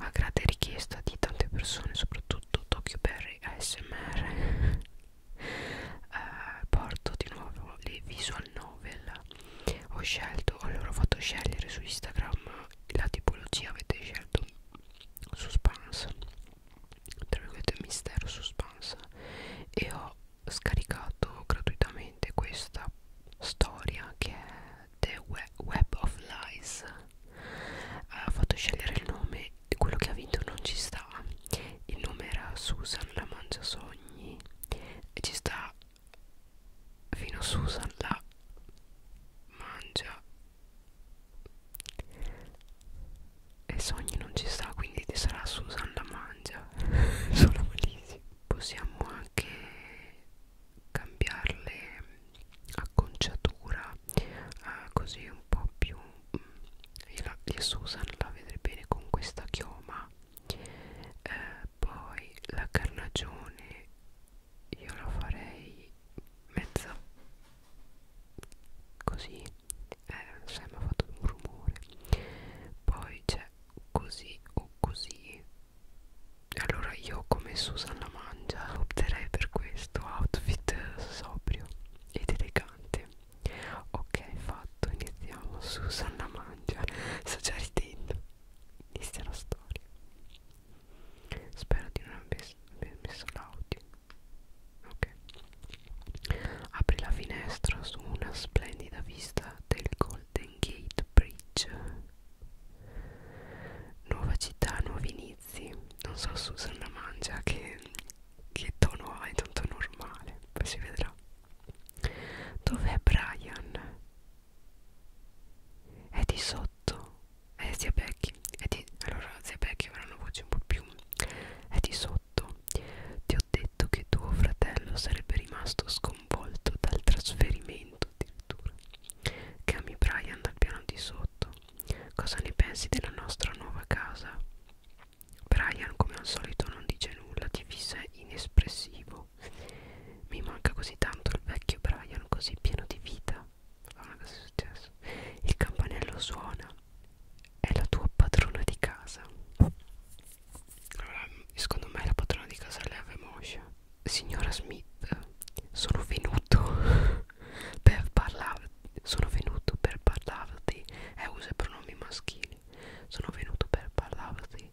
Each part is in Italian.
a grande richiesta di tante persone soprattutto Tokyo Berry ASMR eh, porto di nuovo le visual novel ho scelto, ho loro fatto scegliere su Instagram la tipologia avete scelto suspense tra virgolette mistero suspense e ho scaricato gratuitamente questa storia che è The Web of Lies ha fatto scegliere il nome quello che ha vinto non ci sta il nome era Susan la mangia sogni e ci sta fino a Susan la mangia e sogni non ci sta quindi sarà Susan la mangia sono malissimo possiamo anche cambiarle mm, acconciatura eh, così un po' più e, mm, la, e Susan la vedrei bene con questa chioma eh, poi la carnagione io la farei mezza così eh, sai mi ha fatto un rumore poi c'è così o così allora io come Susanna Mangia opterei per questo outfit sobrio ed elegante ok fatto iniziamo Susanna Mangia sto già ridendo inizia la storia spero di non aver messo l'audio ok apri la finestra su una splendida vista del Golden Gate Bridge Nuova città, nuovi inizi. Non so Susan la mangia che, che tono ha, è tanto normale, poi si vedrà. Dov'è Brian? È di sotto. È zia Becky. È di, allora zia Becky avrà una voce un po' più. È di sotto. Ti ho detto che tuo fratello sarebbe rimasto sconvolto dal trasferimento addirittura chiami Brian dal piano di sotto cosa ne pensi della nostra nuova casa? Brian come al solito non dice nulla ti fissa inespressivo mi manca così tanto il vecchio Brian così pieno di vita allora ah, cosa è successo? il campanello suona è la tua padrona di casa allora secondo me la padrona di casa è l'Eve Moscia signora Smith, sono venuto per parlarti. Sono venuto per parlarti. Eh, usa i pronomi maschili. Sono venuto per parlarti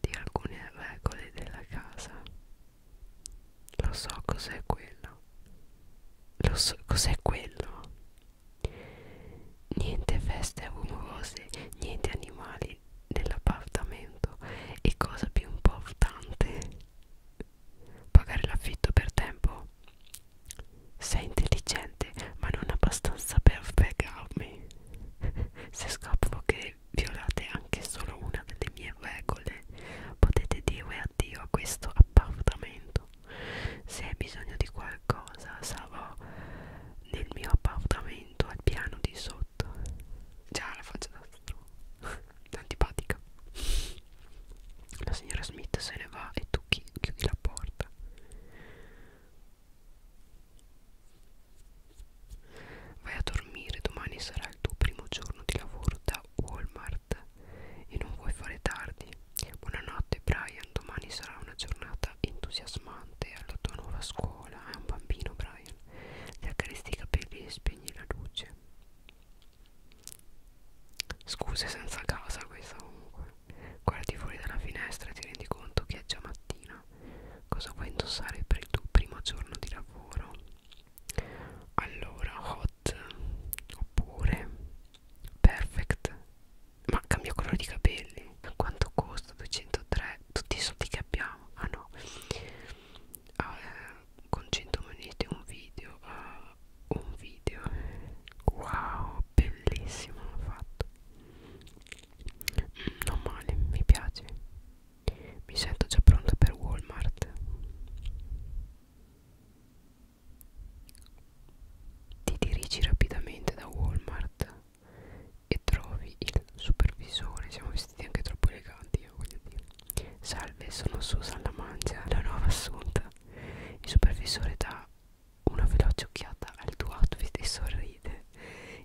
di alcune regole della casa. Lo so cos'è quello. Lo so cos'è quello. Niente feste rumorose, niente animali quelli dell'appartamento e cosa più importante pagare l'affitto per tempo sei intelligente ma non abbastanza per fregarmi se scopro che violate anche solo una delle mie regole potete dire addio a questo appartamento se hai bisogno di qualcosa sarò nel mio appartamento al piano di sotto già la faccio da antipatica la signora Smith se ne va e tu chi chiudi la porta vai a dormire domani sarà il tuo primo giorno di lavoro da Walmart e non vuoi fare tardi buonanotte Brian domani sarà una giornata entusiasmante alla tua nuova scuola è un bambino Brian Brian. Ti accarezzi i capelli e spegni la luce. Scuse senza casa questa comunque. Guardi fuori dalla finestra e ti rendi conto che è già mattina. Cosa vuoi indossare per il tuo primo giorno di lavoro? Allora, hot oppure perfect. Ma cambia colore di capelli. Quanto costa? 203. Tutti i soldi che che abbiamo ah no ah, eh, con 100 monete un video ah, un video wow bellissimo l'ho fatto mm, non male mi piace mi sento già pronta per Walmart ti dirigi rapidamente da Walmart e trovi il supervisore siamo vestiti anche troppo eleganti io voglio dire salve sono Susan la mangia la nuova assunta il supervisore dà una veloce occhiata al tuo outfit e sorride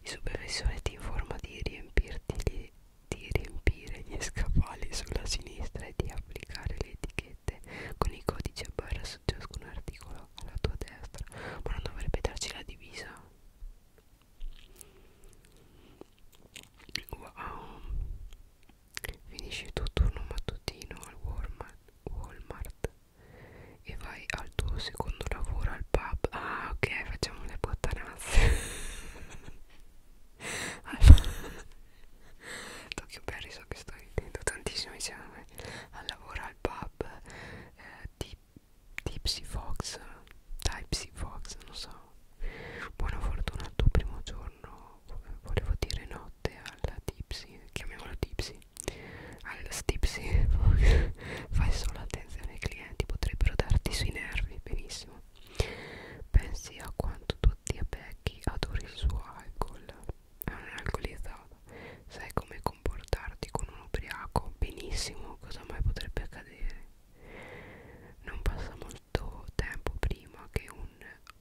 il supervisore ti informa di riempirti gli, di riempire gli scaffali sulla sinistra e di applicare le etichette con i codici a barra su ciascun articolo alla tua destra ma non dovrebbe darci la divisa Wow Finisci il tuo turno mattutino al Walmart, Walmart e vai al tuo secondo lavoro al pub Ah ok facciamo le bottanazze Tokyo Perry so che sto ridendo tantissimo insieme al lavoro al pub eh, ti Tipsy Fox Tipsy Fox non so buona fortuna al tuo primo giorno volevo dire notte alla Tipsy chiamiamolo Tipsy al Tipsy fai solo attenzione ai clienti potrebbero darti sui nervi benissimo pensi a quanto tua zia Becky adori il suo alcol è un alcolizzato brava sai come comportarti con un ubriaco benissimo cosa mai potrebbe accadere non passa molto tempo prima che un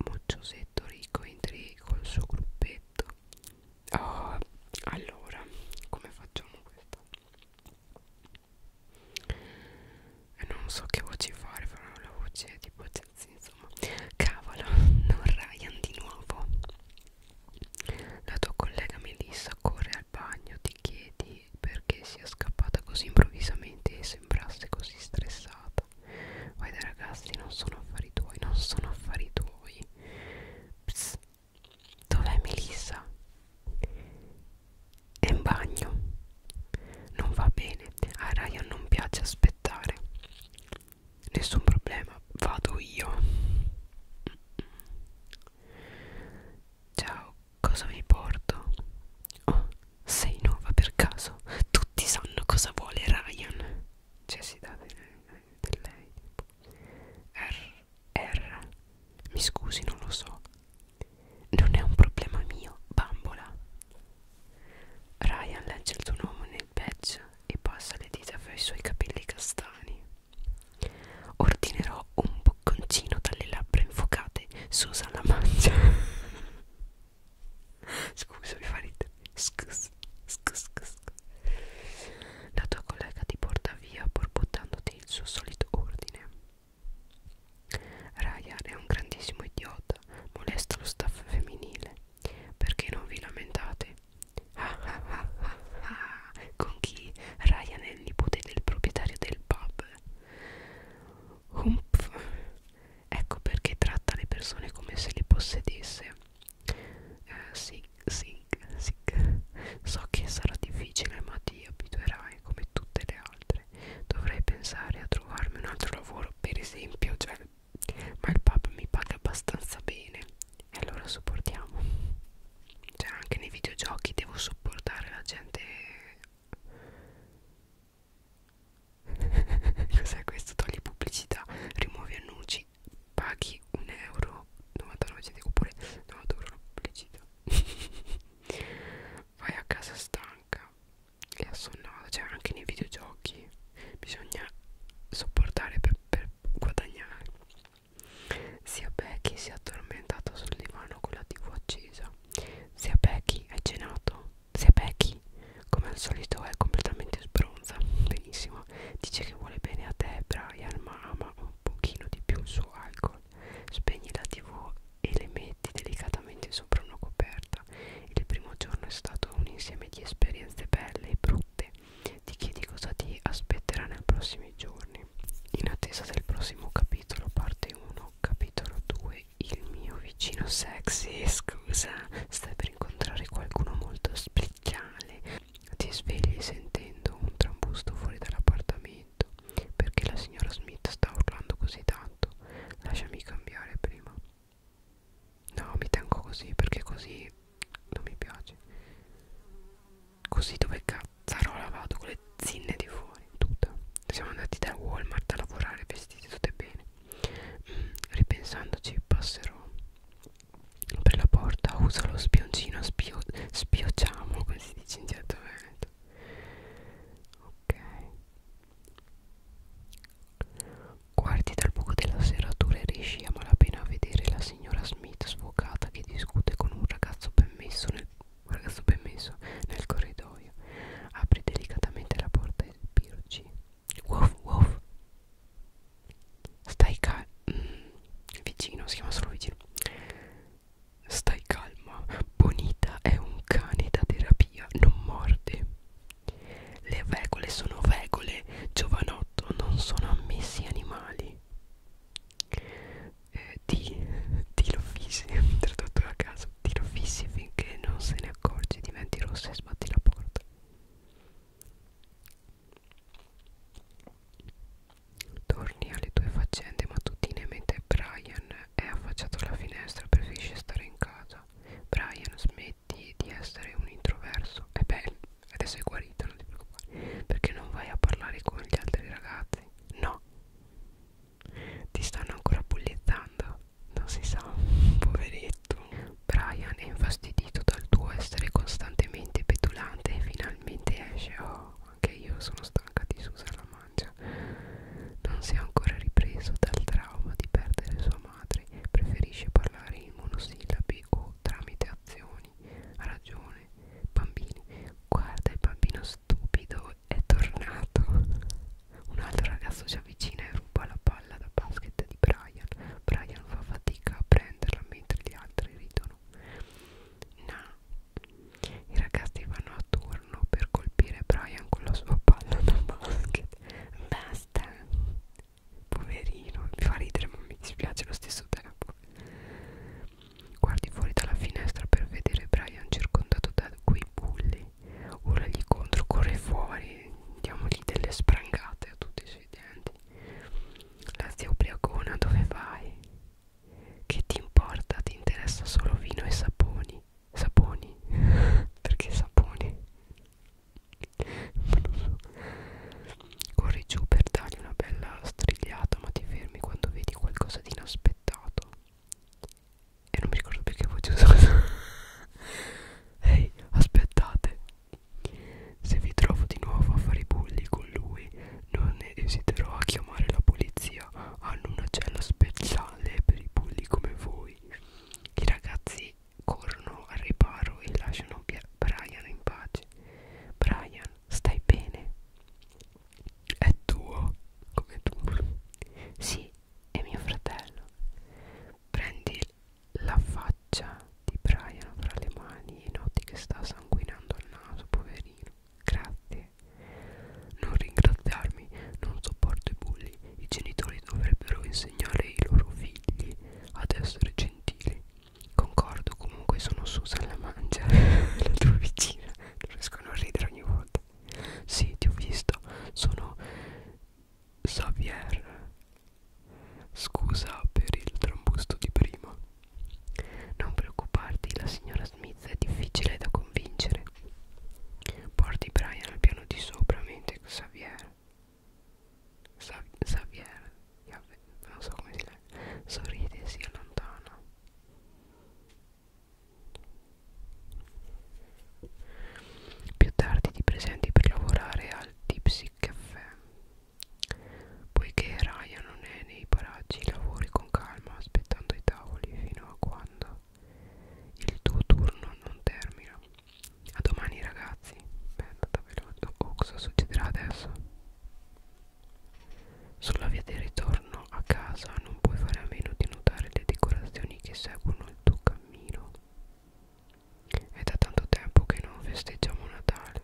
mocciosetto ricco entri col suo gruppetto oh, allora come facciamo questo eh, non so che voci fare farò la voce tipo insomma cavolo non Ryan di nuovo la tua collega Melissa corre al bagno, ti chiedi perché sia scappata così improvvisamente e sembrasse così stressata. Vai dai ragazzi, non sono affari tuoi, non sono affari tuoi. Psst, dov'è Melissa? È in bagno. Non va bene, a Ryan non piace aspettare nessun problema vado io ciao cosa vi porto oh sei nuova per caso tutti sanno cosa vuole Ryan cioè si dà di lei R R mi scusi non lo so non è un problema mio bambola Ryan legge il suo nome nel badge e passa le dita fra i suoi capelli castani Ordinerò un bocconcino dalle labbra infuocate Susa la mangia Scusa mi fa ridere Scus, scus, scus La tua collega ti porta via borbottandoti il suo solito ordine Ryan è un grandissimo idiota Molesta lo staff femminile perché non vi lamentate? Ah, ah, ah, ah, ah. Con chi? Ryan è il nipote del proprietario del pub. Humph. Ecco perché tratta le persone come se le possedesse. Eh, sì, sì, sì. So che sarà difficile, ma ti abituerai come tutte le altre. Dovrei pensare a trovarmi un altro lavoro, per esempio, cioè ma il pub mi paga abbastanza bene e allora sopportiamo cioè anche nei videogiochi devo sopportare la gente cos'è questo? togli pubblicità rimuovi annunci paghi 1 euro 99 centesimi oppure 90 euro la pubblicità vai a casa stanca e assonnato cioè anche nei videogiochi bisogna sopportare per per guadagnare. Sia Becky si è addormentata sul divano con la tv accesa. Sia Becky hai cenato? Sia Becky, come al solito, è completamente sbronza. Benissimo, dice che vuole bene a te, Brian, ma ama un pochino di più il suo alcol. Spegni la tv e le metti delicatamente sopra una coperta. Il primo giorno è stato un insieme di esperienze belle e brutte ti chiedi cosa ti aspetterà nei prossimi giorni in attesa del prossimo capitolo parte 1 capitolo 2 il mio vicino sexy scusa stai per incontrare qualcuno molto speciale ti svegli sentendo un trambusto fuori dall'appartamento perché la signora Smith sta urlando così tanto lasciami cambiare prima No, mi tengo così perché così non mi piace. Così dove cazzarola vado con le zinne di fuori, tutta. Siamo andati da Walmart a lavorare vestiti tutte bene. Mm, ripensandoci, passerò per la porta, uso lo spioncino, spio, spiocciamo, come si dice in certo veneto. Ok. Guardi dal buco della serratura e riesci a malapena a vedere la signora Smith sfocata che discute con un ragazzo ben messo nel, ragazzo ben messo nel corridoio. Apri delicatamente la porta e pirci. Woof woof. Stai calmo. Mm, vicino, si chiama solo vicino. Stai calma. Bonita è un cane da terapia, non morde. Le regole sono regole, giovanotto, non sono ammessi animali. Eh, ti, tiro fissi, tradotto a caso, tiro fissi finché non se ne accorgi, diventi rossa e sbatti la porta. Torni alle tue faccende mattutine mentre Brian è affacciato alla finestra, preferisce stare in casa vita Brian smetti di essere un introverso E beh adesso è guarito non ti preoccupare Perché non vai a parlare con gli altri ragazzi No Ti stanno ancora bullettando Non si sa Poveretto Brian è infastidito dal tuo essere costantemente petulante E finalmente esce Oh anche io sono stanca di Susan la mancia Non si è ancora ripreso dal trauma di perdere sua madre preferisce parlare in monosillabi o tramite azioni. Ha ragione, bambini. Guarda, il bambino stupido è tornato. Un altro ragazzo si avvicina e ruba la palla da basket di Brian. Brian fa fatica a prenderla mentre gli altri ridono. No. I ragazzi vanno a turno per colpire Brian con la sua palla da basket. Basta basta poverino mi fa ridere ma mi dispiace allo stesso tempo guardi fuori dalla finestra per vedere Brian circondato da quei bulli ora gli contro corre fuori diamogli delle sprangate a tutti i suoi denti la zia ubriacona dove vai che ti importa ti interessa solo vino e saponi saponi perché saponi non so. corri giù per dargli una bella strigliata ma ti fermi quando vedi qualcosa di inaspettato e non mi ricordo più che voce usata ehi hey, aspettate se vi trovo di nuovo a fare i bulli con lui non esiterò a chiamare la polizia hanno una cella speciale per i bulli come voi i ragazzi corrono al riparo e lasciano Brian in pace. Brian, stai bene? È tuo, come tu. Sì, è mio fratello. Prendi la faccia di Brian fra le mani e noti che sta sanguinando il naso, poverino. Grazie non ringraziarmi, non sopporto i bulli. I genitori dovrebbero insegnare ai loro figli ad essere gentili. Concordo, comunque sono Susan la mangia, la tua vicina. Non riesco a non ridere ogni volta. Sì, ti ho visto. Sono Xavier. Scusa per il trambusto di prima. Non preoccuparti, la signora Smith è difficile da convincere bene. Porti Brian al piano di sopra mentre Xavier, Xav Xavier non so come si legge, sorride e si allontana. Più tardi ti presenti per lavorare al Tipsy Caffè. Poiché Ryan non è nei paraggi, lavori con calma aspettando i tavoli fino a quando il tuo turno non termina a domani ragazzi beh è andata veloce oh, oh cosa succederà adesso sulla via di ritorno a casa non puoi fare a meno di notare le decorazioni che seguono il tuo cammino è da tanto tempo che non festeggiamo Natale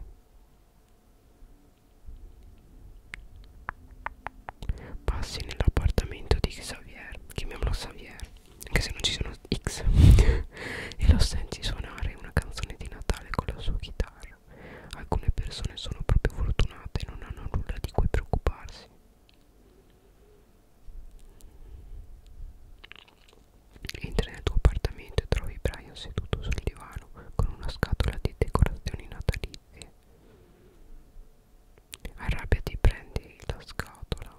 Passi nell'appartamento di Xavier, chiamiamolo Xavier, anche se non ci sono X, e lo senti suonare una canzone di Natale con la sua chitarra. Alcune persone sono proprio fortunate e non hanno nulla di cui preoccuparsi. Entri nel tuo appartamento e trovi Brian seduto sul divano con una scatola di decorazioni natalizie. Arrabbiati, prendi la scatola.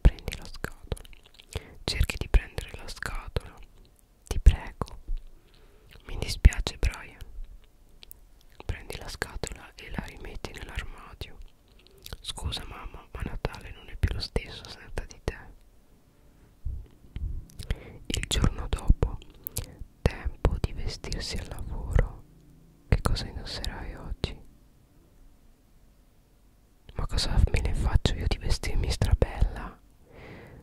Prendi la scatola. Cerchi di prendere la scatola. Ti prego. Mi dispiace, Brian. Prendi la scatola e la rimetti nell'armadio. Scusa, mamma, ma Natale non è più lo stesso senza di te. Il giorno dopo, tempo di vestirsi al lavoro che cosa indosserai oggi? Ma cosa me ne faccio io di vestirmi strabella?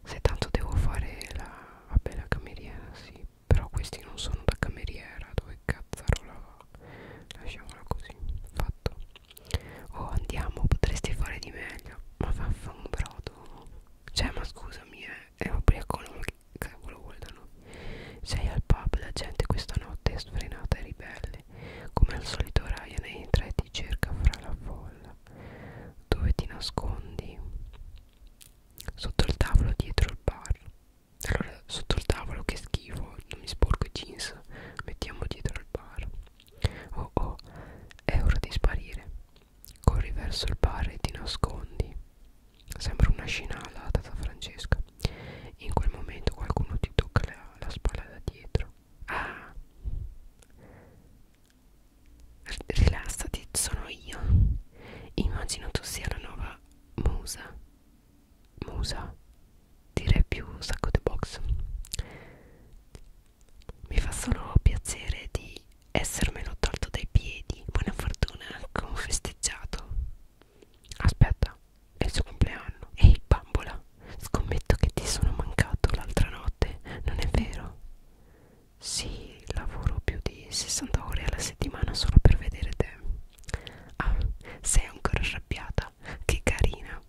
Se tanto devo fare la... vabbè la cameriera sì Però questi non sono da cameriera Dove cazzarola va? Lasciamola così Fatto Oh andiamo potresti fare di meglio Ma vaffa un brodo Cioè ma scusami eh È ubriacolo ma che cavolo vuole da noi sei al pub la gente questa notte è sfrenata e ribelle come al solito Ryan entra e ti cerca fra la folla dove ti nascondi sotto il tavolo dietro il bar allora sotto il tavolo che schifo non mi sporco i jeans mettiamo dietro il bar oh oh è ora di sparire Corri verso il bar e ti nascondi. Sembra una scena alla tata Francesca. In quel momento qualcuno ti tocca la, la spalla da dietro. Ah! Rilassati, sono io. Immagino tu sia la nuova musa. Musa? Direi più sacco di box. Mi fa solo piacere di essermelo tolto dai piedi. Buona fortuna, come ho festeggiato. Aspetta, è il suo compleanno. Ehi, bambola, scommetto che ti sono mancato l'altra notte, non è vero? Sì, lavoro più di 60 ore alla settimana solo per vedere te. Ah, sei ancora arrabbiata? Che carina.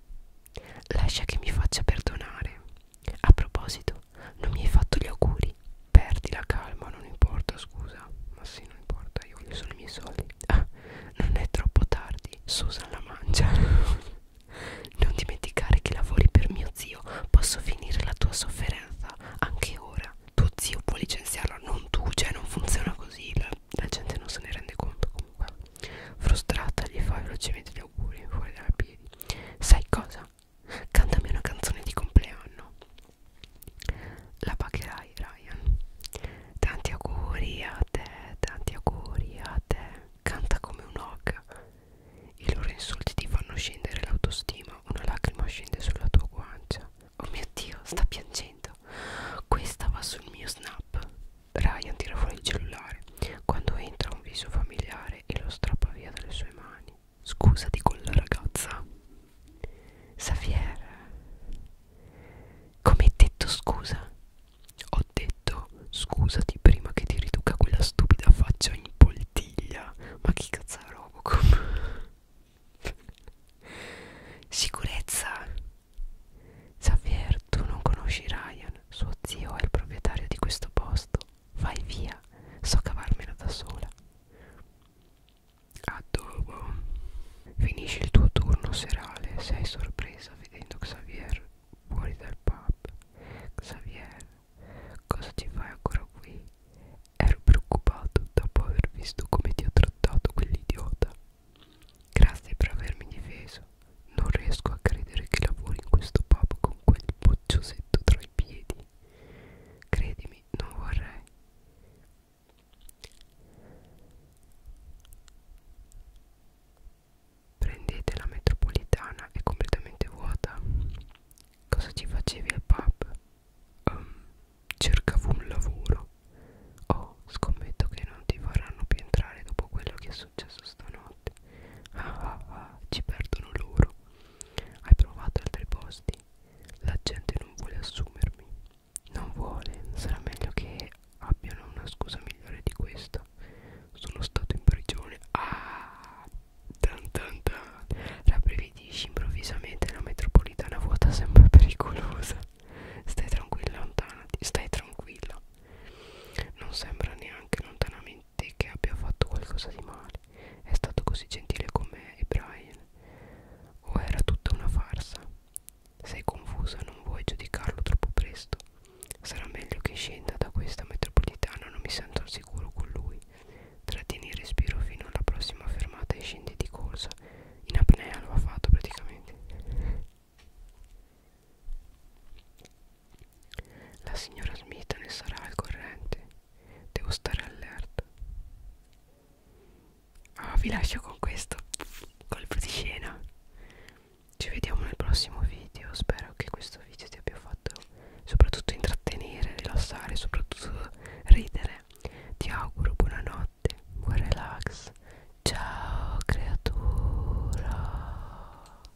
Lascia che mi faccia perdonare. A proposito, non mi hai fatto gli auguri. Perdi la calma, non importa, scusa. Ma sì, non importa, io voglio solo i miei soldi. Ah, non è troppo tardi, Susan la mangia. non dimenticare che lavori per mio zio. Posso finire la tua sofferenza anche ora. Tuo zio può licenziarlo, non tu, cioè non funziona così. La, la gente non se ne rende conto comunque. Frustrata, gli fa velocemente gli auguri fuori dalla piedi. Sai cosa? Cantami una canzone di compleanno. La pagherai, Ryan. Tanti auguri a te, tanti auguri a te. Canta come un hog. I loro insulti ti fanno scendere l'autostima. Una lacrima scende sulla tua guancia. Oh mio dio, sta piangendo. Questa va sul mio snap. Ryan tira fuori il cellulare. Quando entra un viso familiare e lo strappa via dalle sue mani. Scusati con la ragazza. Xavier, come hai detto scusa? Ho detto scusati prima che ti riduca quella stupida faccia in poltiglia. Ma che cazzo è Robocop? Sicurezza. Xavier, tu non conosci Ryan. Suo zio è il proprietario di questo posto. Vai via, so cavarmela da sola. Adobo. Finisce il tuo turno serale. Sei sorpresa vedendo Xavier fuori dal pub. Xavier, cosa ci fai ancora qui? Ero preoccupato dopo aver visto come ti ha trattato quell'idiota. Grazie per avermi difeso. Non riesco a credere che lavori in questo pub con quel bocciosetto tra i piedi. Credimi, non vorrei. Prendete la metropolitana, è completamente vuota. Cosa ci facevi al pub? Um, cercavo un lavoro. Oh, scommetto che non ti vorranno più entrare dopo quello che è successo stanotte notte. Ah ah ah, ci perdono loro. Hai provato altri posti? La gente non vuole assumermi. Non vuole, sarà meglio che abbiano una scusa migliore di questa. Sono stato in prigione. Ah! Tan tan tan. Rabbrividisci improvvisamente la metropolitana vuota sembra pericolosa. Stai tranquilla, lontanati. Stai tranquilla. Non sembra neanche lontanamente niente che abbia fatto qualcosa di male. È stato così gentile con me e Brian. O era tutta una farsa? Sei confusa, non vuoi giudicarlo troppo presto. Sarà meglio che scenda da questa metropolitana, non mi sento al sicuro con lui. Trattieni il respiro fino alla prossima fermata e scendi di corsa. In apnea lo ha fatto praticamente. La signora Smith ne sarà al corrente. Devo stare allerta. Ah, vi lascio con questo colpo di scena. Ci vediamo nel prossimo video. Spero che questo video ti abbia fatto soprattutto intrattenere, rilassare, soprattutto ridere. Ti auguro buonanotte, buon relax. Ciao creatura.